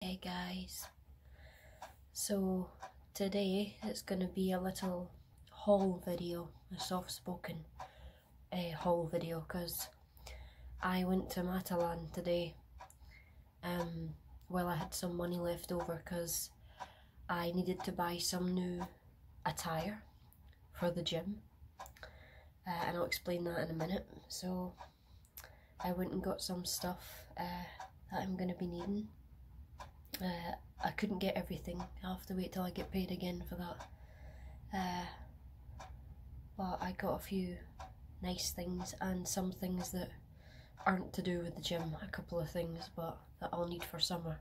Hey guys, so today it's going to be a little haul video, a soft spoken uh, eh, haul video because I went to Matalan today. Um, well, I had some money left over because I needed to buy some new attire for the gym uh, and I'll explain that in a minute. So I went and got some stuff uh, that I'm going to be needing. Uh, I couldn't get everything. i have to wait till I get paid again for that. Uh, but I got a few nice things and some things that aren't to do with the gym. A couple of things, but that I'll need for summer.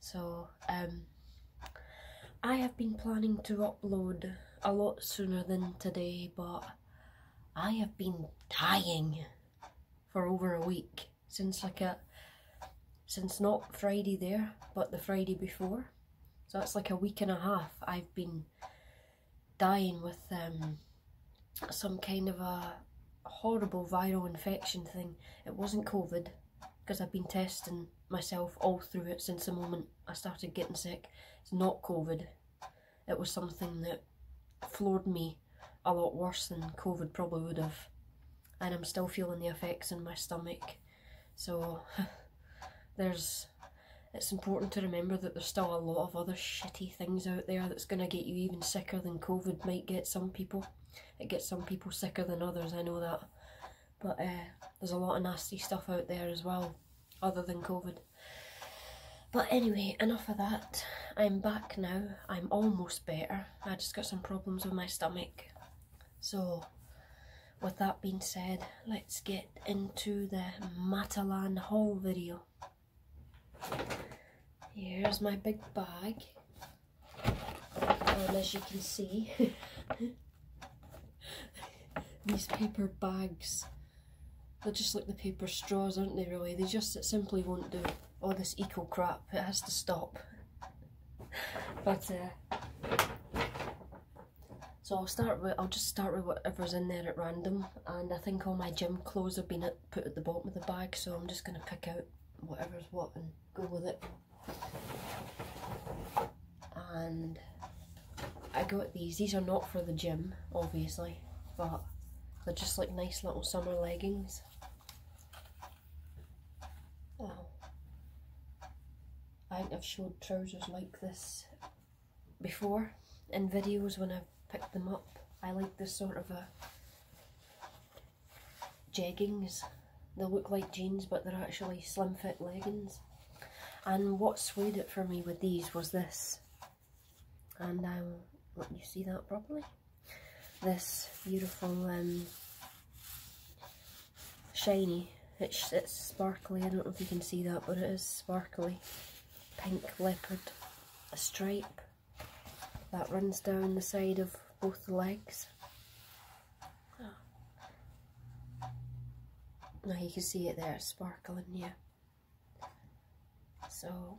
So, um, I have been planning to upload a lot sooner than today, but I have been dying for over a week since like a since not Friday there but the Friday before so that's like a week and a half I've been dying with um, some kind of a horrible viral infection thing it wasn't COVID because I've been testing myself all through it since the moment I started getting sick it's not COVID it was something that floored me a lot worse than COVID probably would have. And I'm still feeling the effects in my stomach. So there's it's important to remember that there's still a lot of other shitty things out there that's going to get you even sicker than COVID might get some people. It gets some people sicker than others, I know that. But uh, there's a lot of nasty stuff out there as well, other than COVID. But anyway, enough of that. I'm back now. I'm almost better. I just got some problems with my stomach. So, with that being said, let's get into the Matalan Hall video. Here's my big bag. And um, as you can see, these paper bags they're just like the paper straws, aren't they, really? They just simply won't do all oh, this eco crap. It has to stop. but, uh, so I'll start with, I'll just start with whatever's in there at random. And I think all my gym clothes have been put at the bottom of the bag, so I'm just going to pick out whatever's what and go with it. And I got these. These are not for the gym, obviously, but they're just like nice little summer leggings. Oh. I think I've showed trousers like this before in videos when I've picked them up. I like this sort of a jeggings. They look like jeans but they're actually slim fit leggings. And what swayed it for me with these was this, and I will let you see that properly. This beautiful um, shiny, it's, it's sparkly, I don't know if you can see that, but it is sparkly, pink leopard, a stripe that runs down the side of both the legs. Ah. Now you can see it there, sparkling, yeah. So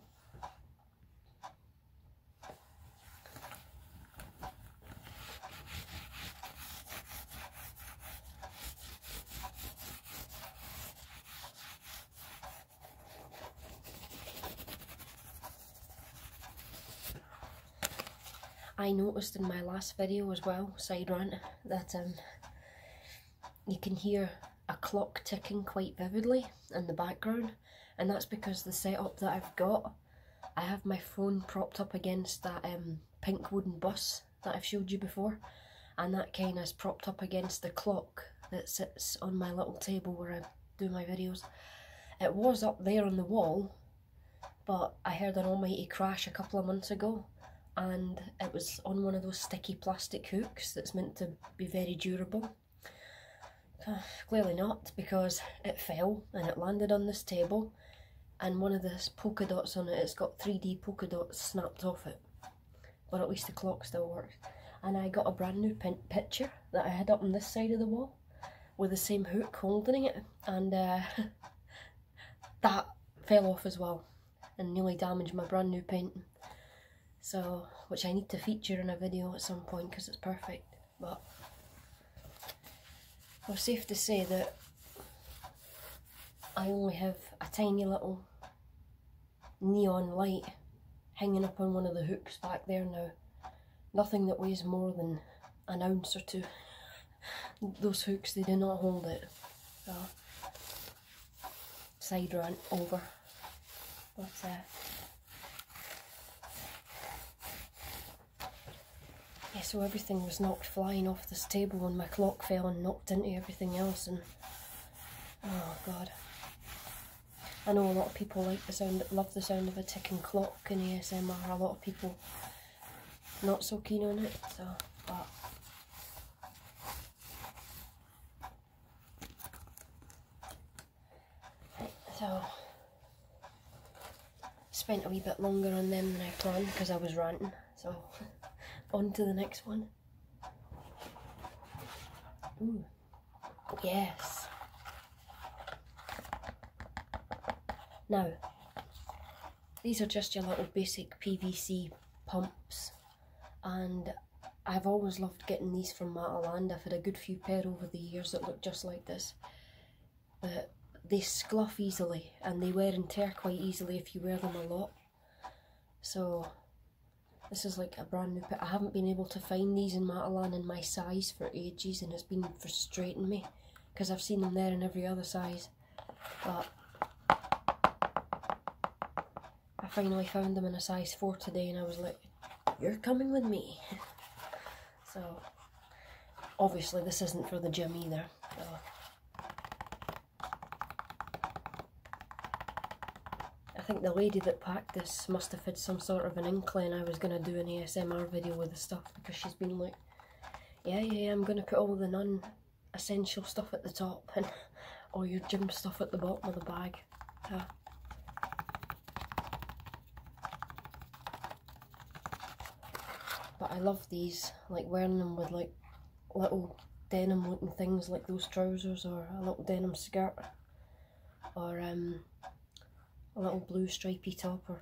I noticed in my last video as well, side rant, that um, you can hear a clock ticking quite vividly in the background and that's because the setup that I've got I have my phone propped up against that um, pink wooden bus that I've showed you before and that kind of propped up against the clock that sits on my little table where I do my videos. It was up there on the wall but I heard an almighty crash a couple of months ago and it was on one of those sticky plastic hooks that's meant to be very durable. Ah, clearly not, because it fell and it landed on this table and one of the polka dots on it, it's got 3D polka dots snapped off it. But at least the clock still works. And I got a brand new picture that I had up on this side of the wall with the same hook holding it and uh, that fell off as well and nearly damaged my brand new painting. So, which I need to feature in a video at some point because it's perfect. But well, safe to say that I only have a tiny little neon light hanging up on one of the hooks back there now. Nothing that weighs more than an ounce or two those hooks they do not hold it. So side run over. But uh, yeah, so everything was knocked flying off this table and my clock fell and knocked into everything else and oh god. I know a lot of people like the sound, love the sound of a ticking clock in ASMR. A lot of people not so keen on it, so right, so spent a wee bit longer on them than I planned because I was ranting, so on to the next one. Yes. No. These are just your little basic PVC pumps and I've always loved getting these from Mataland. I've had a good few pair over the years that look just like this. they scuff easily and they wear and tear quite easily if you wear them a lot. So this is like a brand new pair. I haven't been able to find these in Matalan in my size for ages and it's been frustrating me because I've seen them there in every other size but I finally found them in a size 4 today and I was like, you're coming with me. so, obviously this isn't for the gym either. I think the lady that packed this must have had some sort of an inkling I was going to do an ASMR video with the stuff because she's been like, yeah, yeah, I'm going to put all the non essential stuff at the top and all your gym stuff at the bottom of the bag. but I love these, like wearing them with like little denim looking things like those trousers or a little denim skirt or um, a little blue stripy top or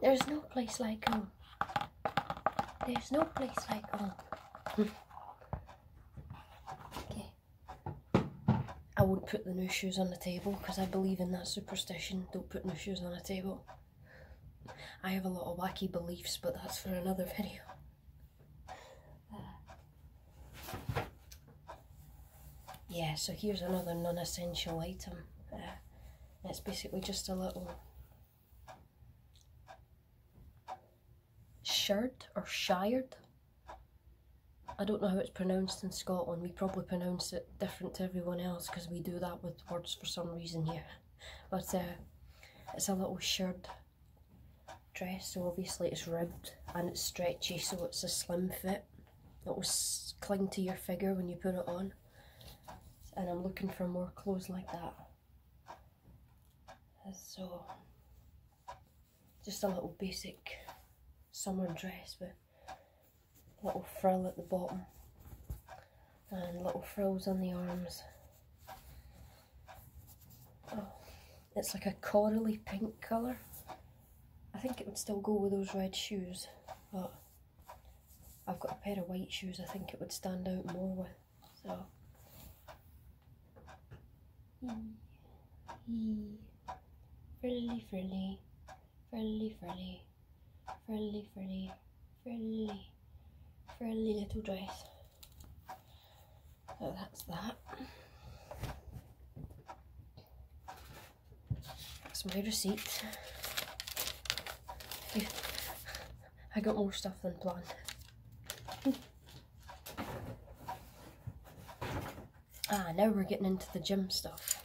There's no place like home. There's no place like home. okay. I would put the new shoes on the table because I believe in that superstition. Don't put new shoes on the table. I have a lot of wacky beliefs, but that's for another video. Uh yeah, so here's another non-essential item. Uh, it's basically just a little shard or shired. I don't know how it's pronounced in Scotland. We probably pronounce it different to everyone else because we do that with words for some reason here. But uh, it's a little shard dress, so obviously it's ribbed and it's stretchy, so it's a slim fit it'll cling to your figure when you put it on. And I'm looking for more clothes like that. So, just a little basic summer dress with a little frill at the bottom and little frills on the arms. Oh, it's like a corally pink colour. I think it would still go with those red shoes, but I've got a pair of white shoes I think it would stand out more with. So. Yee. Frilly, frilly, frilly, frilly, frilly, frilly, frilly, little dress. So that's that. That's my receipt. I got more stuff than planned. ah, now we're getting into the gym stuff.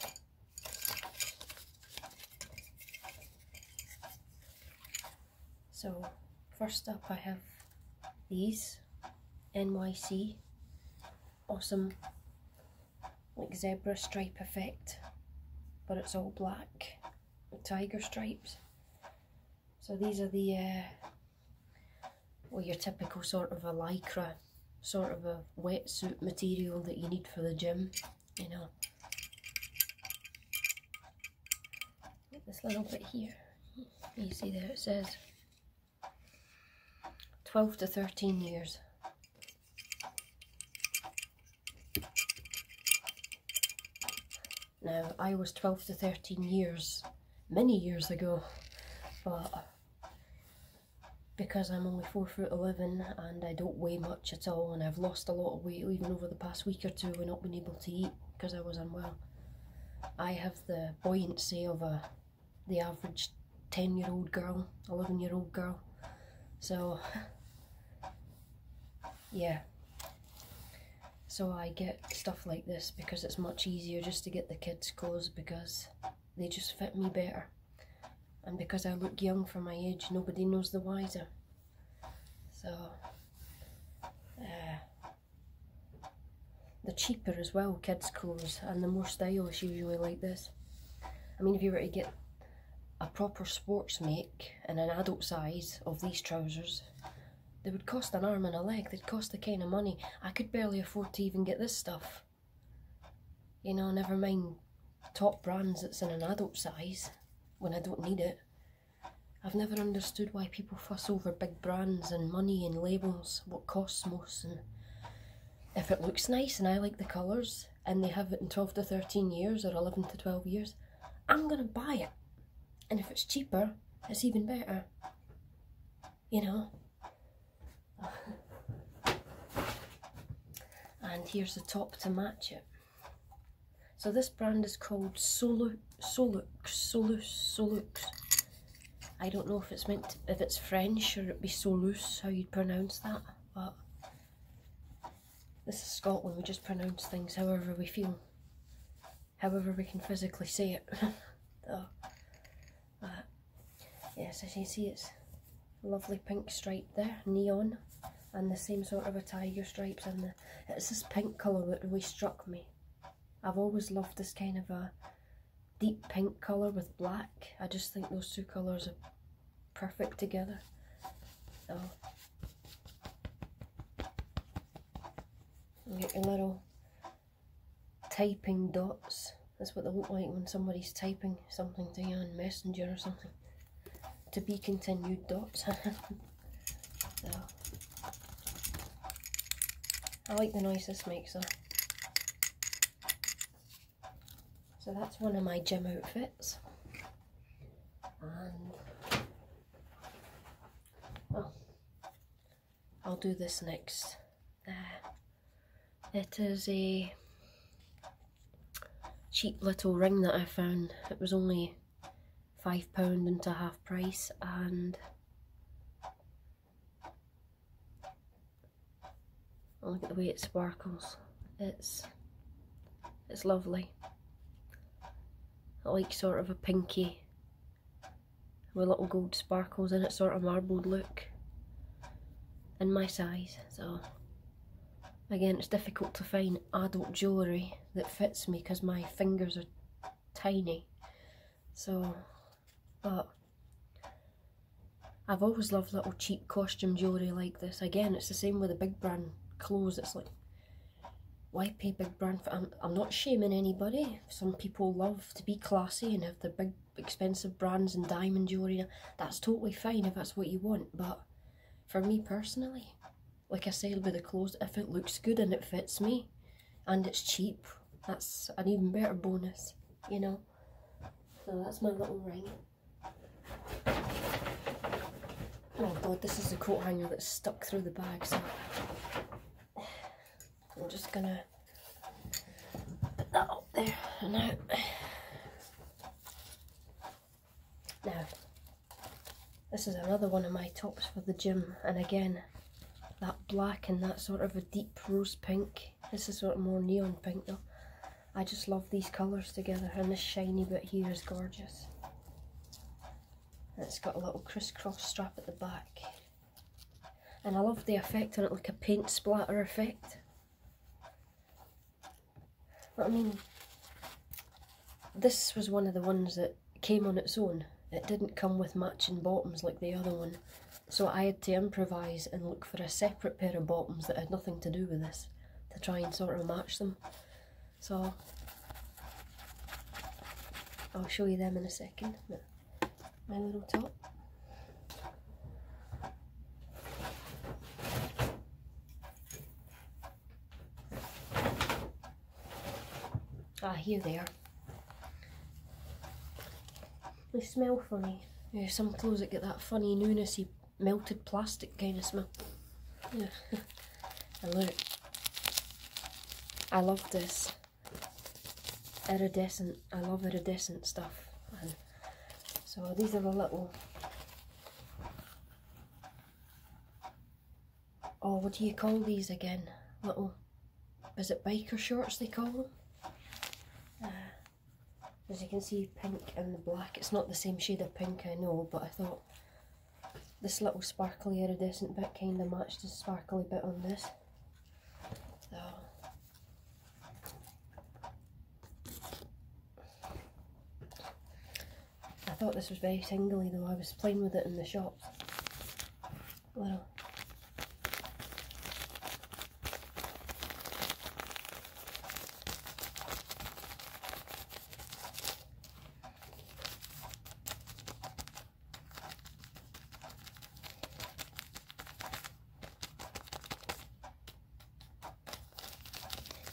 So, first up I have these, NYC awesome like zebra stripe effect but it's all black tiger stripes so these are the uh, well your typical sort of a lycra sort of a wetsuit material that you need for the gym you know this little bit here you see there it says 12 to 13 years. Now, I was 12 to 13 years, many years ago, but because I'm only 4 foot 11 and I don't weigh much at all and I've lost a lot of weight even over the past week or two and not been able to eat because I was unwell, I have the buoyancy of a the average 10 year old girl, 11 year old girl. So, yeah. So I get stuff like this because it's much easier just to get the kids' clothes because they just fit me better. And because I look young for my age, nobody knows the wiser. So, uh, they're cheaper as well, kids' clothes, and they're more stylish usually like this. I mean, if you were to get a proper sports make and an adult size of these trousers, they would cost an arm and a leg. They'd cost the kind of money. I could barely afford to even get this stuff. You know, never mind top brands that's in an adult size when I don't need it. I've never understood why people fuss over big brands and money and labels, what costs most if it looks nice and I like the colours and they have it in 12 to 13 years or 11 to 12 years, I'm going to buy it. And if it's cheaper, it's even better. You know? and here's the top to match it. So this brand is called Solux, Solux, Solux, Solux. I don't know if it's meant if it's French or it'd be so loose how you'd pronounce that, but this is Scotland, we just pronounce things however we feel, however we can physically say it. oh. uh, yes, as you see, it's lovely pink stripe there, neon, and the same sort of a tiger stripes, and the, it's this pink colour that really struck me. I've always loved this kind of a deep pink colour with black. I just think those two colours are perfect together. So get your little typing dots. That's what they look like when somebody's typing something to you on Messenger or something. To be continued dots. I like the noise this makes though. So that's one of my gym outfits. And well, I'll do this next. There. Uh, it is a cheap little ring that I found. It was only £5 into half price and look at the way it sparkles. It's it's lovely. I like sort of a pinky with little gold sparkles in it, sort of marbled look. In my size, so again, it's difficult to find adult jewellery that fits me because my fingers are tiny. So, but I've always loved little cheap costume jewellery like this. Again, it's the same with the big brand clothes. It's like, why pay big brand for... I'm, I'm not shaming anybody. Some people love to be classy and have the big expensive brands and diamond jewellery. That's totally fine if that's what you want. But for me personally, like I say with the clothes, if it looks good and it fits me and it's cheap, that's an even better bonus, you know. So that's my little ring. Oh god, this is the coat hanger that's stuck through the bag, so I'm just gonna put that up there and out. Now, this is another one of my tops for the gym, and again, that black and that sort of a deep rose pink this is sort of more neon pink though. I just love these colours together and this shiny bit here is gorgeous. it's got a little crisscross strap at the back. And I love the effect on it, like a paint splatter effect. But I mean, this was one of the ones that came on its own. It didn't come with matching bottoms like the other one. So I had to improvise and look for a separate pair of bottoms that had nothing to do with this to try and sort of match them. So I'll show you them in a second. My little top. Ah, here they are. They smell funny. Yeah, some clothes that get that funny newnessy melted plastic kind of smell. Yeah. and look. I love this. Iridescent. I love iridescent stuff. And so these are the little oh what do you call these again? Little is it biker shorts they call them? Uh, as you can see, pink and black. It's not the same shade of pink, I know, but I thought this little sparkly iridescent bit kind of matched the sparkly bit on this. So. I thought this was very tingly though, I was playing with it in the shop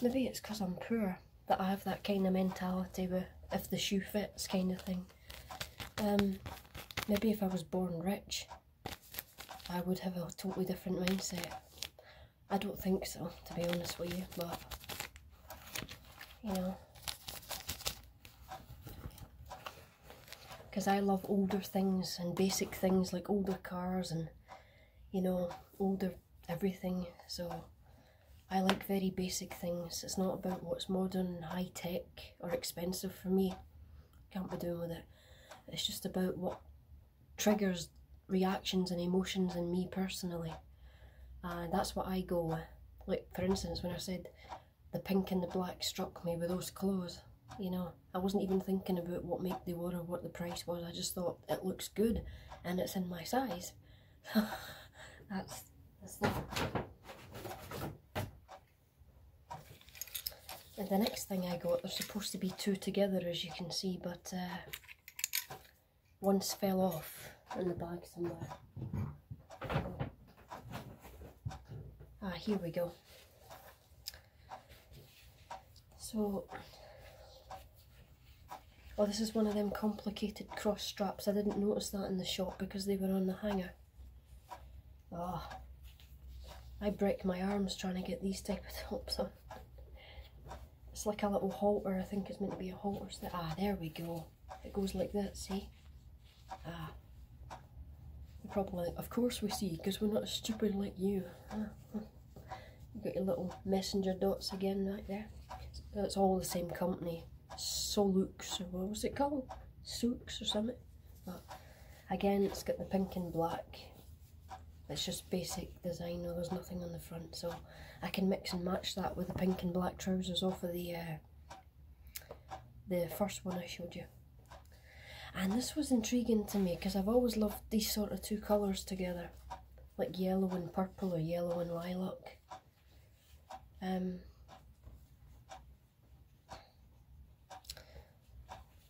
Maybe it's because I'm poor that I have that kind of mentality where if the shoe fits kind of thing. Um, maybe if I was born rich, I would have a totally different mindset. I don't think so, to be honest with you, but you know, because I love older things and basic things like older cars and you know, older everything. So I like very basic things. It's not about what's modern and high tech or expensive for me. Can't be doing with it. It's just about what triggers reactions and emotions in me personally. And that's what I go with. Like, for instance, when I said the pink and the black struck me with those clothes, you know, I wasn't even thinking about what make they were or what the price was. I just thought it looks good and it's in my size. that's, that's the the next thing I got, are supposed to be two together as you can see, but uh, once fell off in the bag somewhere. Ah, here we go. So, oh this is one of them complicated cross straps. I didn't notice that in the shop because they were on the hanger. Oh, I break my arms trying to get these type of tops on. It's like a little hole where I think it's meant to be a hole. So ah, there we go. It goes like that, see? Ah. Probably, of course we see, because we're not stupid like you. Ah, hmm. You got your little messenger dots again right there. That's all the same company. Solux or what was it called? Sux or something. But again, it's got the pink and black. It's just basic design, there's nothing on the front, so I can mix and match that with the pink and black trousers off of the uh, the first one I showed you. And this was intriguing to me because I've always loved these sort of two colours together, like yellow and purple or yellow and lilac. Um,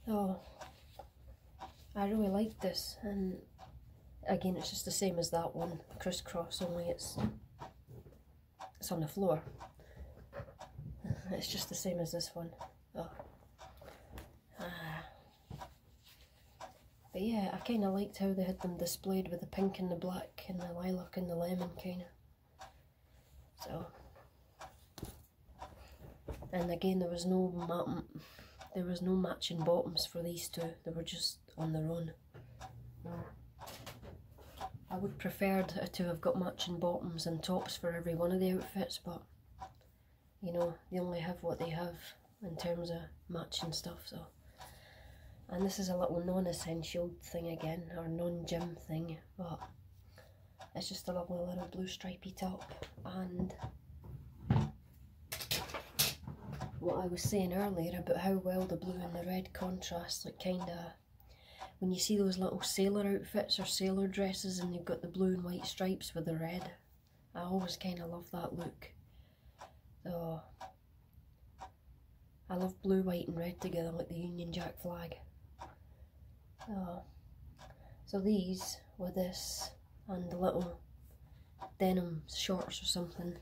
Oh, I really like this and again it's just the same as that one, crisscross only it's it's on the floor. It's just the same as this one. Oh. Ah. But yeah, I kind of liked how they had them displayed with the pink and the black and the lilac and the lemon kind of. So, and again, there was no there was no matching bottoms for these two. They were just on their own. I would preferred to have got matching bottoms and tops for every one of the outfits, but you know, they only have what they have in terms of matching stuff, so and this is a little non-essential thing again, or non-gym thing, but it's just a lovely little blue stripy top. And what I was saying earlier about how well the blue and the red contrast, like kind of when you see those little sailor outfits or sailor dresses and they've got the blue and white stripes with the red. I always kind of love that look. So I love blue, white, and red together like the Union Jack flag. Oh. So these were this and the little denim shorts or something,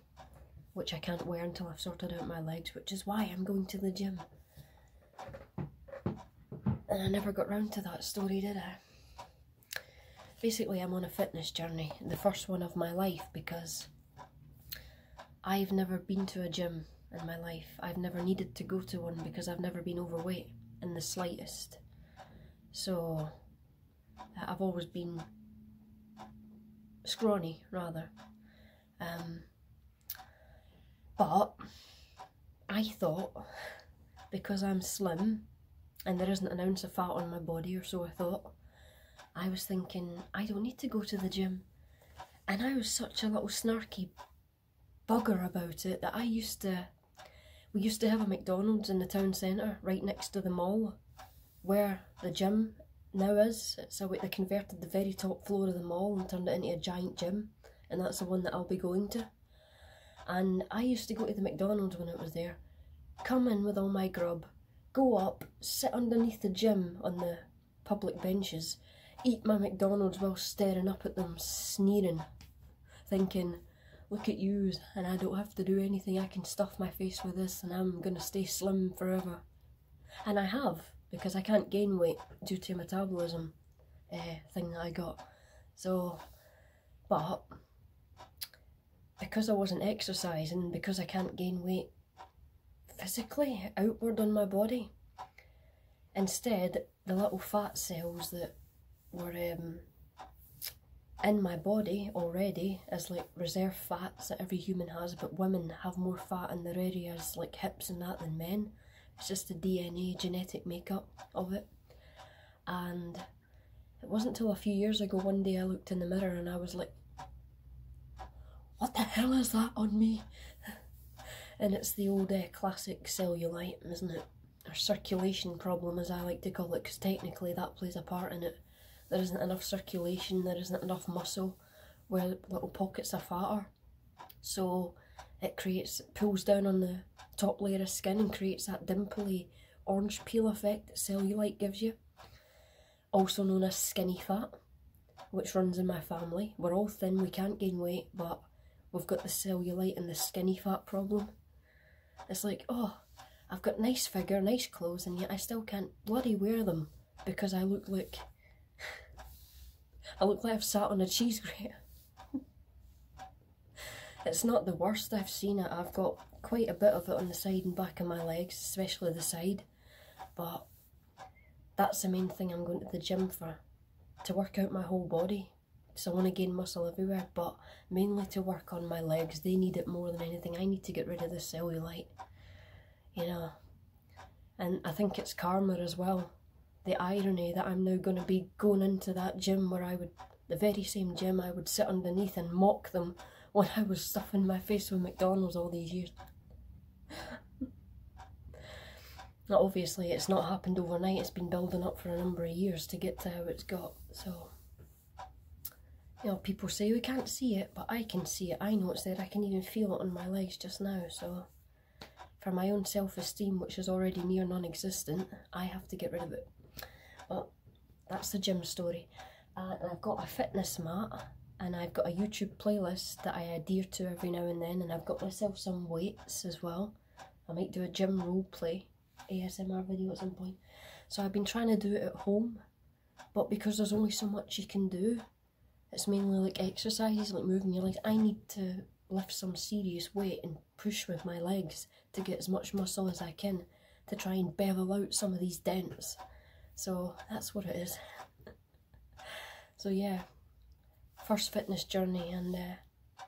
which I can't wear until I've sorted out my legs, which is why I'm going to the gym. And I never got round to that story, did I? Basically, I'm on a fitness journey, the first one of my life, because I've never been to a gym in my life. I've never needed to go to one because I've never been overweight in the slightest. So uh, I've always been scrawny, rather. Um, but I thought because I'm slim and there isn't an ounce of fat on my body, or so I thought, I was thinking, I don't need to go to the gym. And I was such a little snarky bugger about it that I used to. We used to have a McDonald's in the town centre, right next to the mall, where the gym now is. So they converted the very top floor of the mall and turned it into a giant gym, and that's the one that I'll be going to. And I used to go to the McDonald's when it was there, come in with all my grub, go up, sit underneath the gym on the public benches, eat my McDonald's while staring up at them, sneering, thinking, look at yous, and I don't have to do anything, I can stuff my face with this, and I'm gonna stay slim forever. And I have, because I can't gain weight due to metabolism uh, thing that I got. So, but because I wasn't exercising, because I can't gain weight physically outward on my body. Instead, the little fat cells that were um, in my body already is like reserve fats that every human has, but women have more fat in their areas like hips and that than men. It's just the DNA genetic makeup of it. And it wasn't till a few years ago one day I looked in the mirror and I was like, what the hell is that on me? And it's the old uh, classic cellulite, isn't it? Or circulation problem, as I like to call it, because technically that plays a part in it. There isn't enough circulation, there isn't enough muscle where little pockets of fat are So it creates, it pulls down on the top layer of skin and creates that dimply orange peel effect that cellulite gives you also known as skinny fat, which runs in my family. We're all thin, we can't gain weight, but we've got the cellulite and the skinny fat problem. It's like, oh, I've got nice figure, nice clothes, and yet I still can't bloody wear them because I look like I look like I've sat on a cheese grater. it's not the worst I've seen it. I've got quite a bit of it on the side and back of my legs, especially the side. But that's the main thing I'm going to the gym for to work out my whole body. So I want to gain muscle everywhere, but mainly to work on my legs. They need it more than anything. I need to get rid of the cellulite, you know. And I think it's karma as well. The irony that I'm now going to be going into that gym where I would, the very same gym I would sit underneath and mock them when I was stuffing my face with McDonald's all these years. now, obviously, it's not happened overnight. It's been building up for a number of years to get to how it's got. So, you know, people say we can't see it, but I can see it. I know it's there. I can even feel it on my legs just now. So, for my own self-esteem, which is already near non-existent, I have to get rid of it. But that's the gym story. Uh, and I've got a fitness mat and I've got a YouTube playlist that I adhere to every now and then and I've got myself some weights as well. I might do a gym role play ASMR video at some point. So I've been trying to do it at home but because there's only so much you can do, it's mainly like exercises like moving your legs. I need to lift some serious weight and push with my legs to get as much muscle as I can to try and bevel out some of these dents. So that's what it is. so yeah, first fitness journey and uh,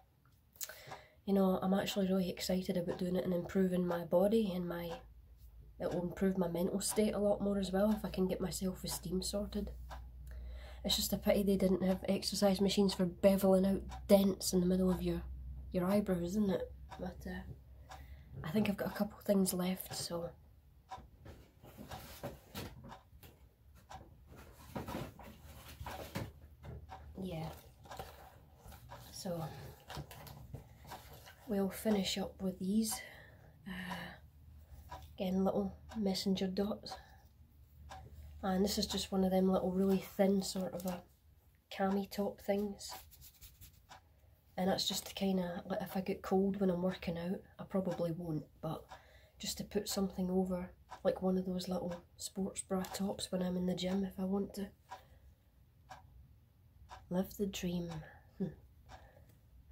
you know, I'm actually really excited about doing it and improving my body and my, it will improve my mental state a lot more as well if I can get my self-esteem sorted. It's just a pity they didn't have exercise machines for beveling out dents in the middle of your, your eyebrows, isn't it? But uh, I think I've got a couple things left, so. Yeah. So, we'll finish up with these. Uh, again, little messenger dots. And this is just one of them little really thin sort of a cami top things and that's just to kind of like if I get cold when I'm working out I probably won't but just to put something over like one of those little sports bra tops when I'm in the gym if I want to live the dream hmm.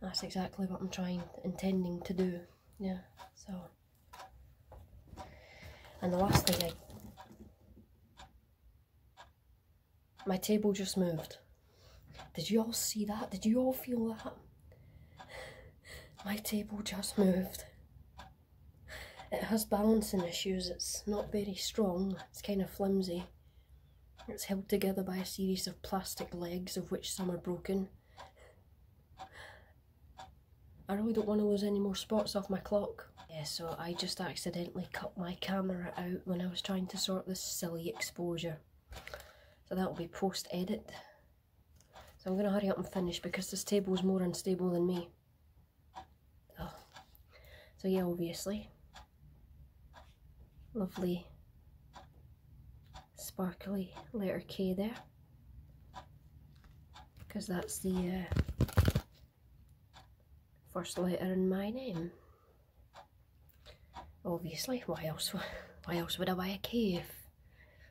that's exactly what I'm trying intending to do yeah so and the last thing I my table just moved. Did you all see that? Did you all feel that? My table just moved. It has balancing issues, it's not very strong, it's kind of flimsy. It's held together by a series of plastic legs, of which some are broken. I really don't want to lose any more spots off my clock. Yeah, so I just accidentally cut my camera out when I was trying to sort this silly exposure. So that will be post-edit. So I'm going to hurry up and finish because this table is more unstable than me. Oh. So yeah, obviously. Lovely sparkly letter K there. Because that's the uh, First letter in my name. Obviously, why else? Why else would I buy a K if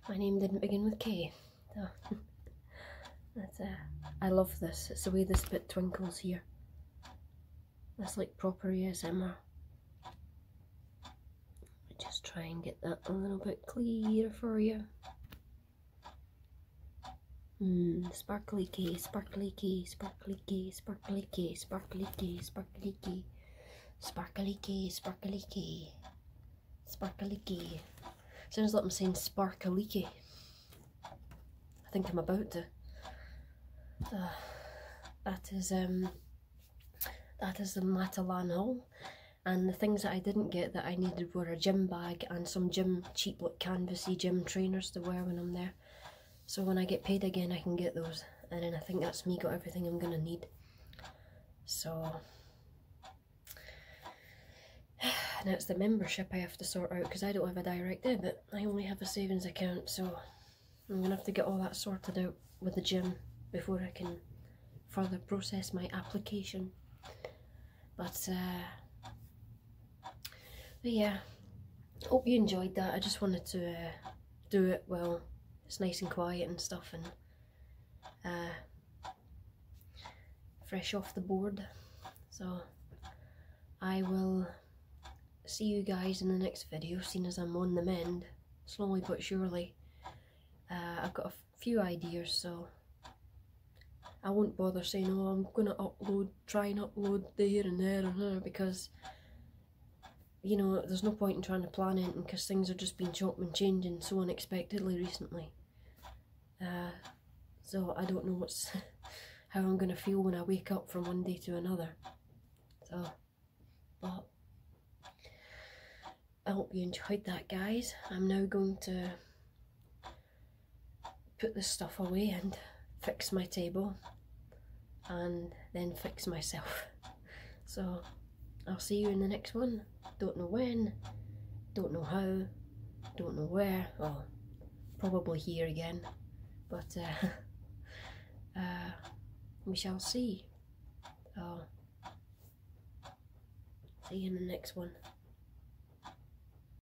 my name didn't begin with K? Oh. That's, uh, I love this. It's the way this bit twinkles here. That's like proper ASMR. Just try and get that a little bit clearer for you. Mm, sparkly key, sparkly key, sparkly key, sparkly key, sparkly key, sparkly key, sparkly key, sparkly key, sparkly key. As soon as I'm saying sparkly key, I think I'm about to. Uh, that is um, that is the Matalan haul, and the things that I didn't get that I needed were a gym bag and some gym cheap look canvasy gym trainers to wear when I'm there. So when I get paid again, I can get those. And then I think that's me got everything I'm gonna need. So and it's the membership I have to sort out because I don't have a direct debit. I only have a savings account, so I'm gonna have to get all that sorted out with the gym before I can further process my application. But uh, but yeah, hope you enjoyed that. I just wanted to uh, do it well. It's nice and quiet and stuff and uh, fresh off the board. So I will see you guys in the next video, Soon as I'm on the mend, slowly but surely. Uh, I've got a few ideas, so I won't bother saying, oh, I'm going to upload, try and upload here and there and there because, you know, there's no point in trying to plan anything because things are just being chopped and changing so unexpectedly recently. Uh, so I don't know what's how I'm going to feel when I wake up from one day to another. So, but I hope you enjoyed that, guys. I'm now going to put the stuff away and fix my table and then fix myself. So I'll see you in the next one. Don't know when, don't know how, don't know where. Well, probably here again, but uh, uh, we shall see. i see you in the next one.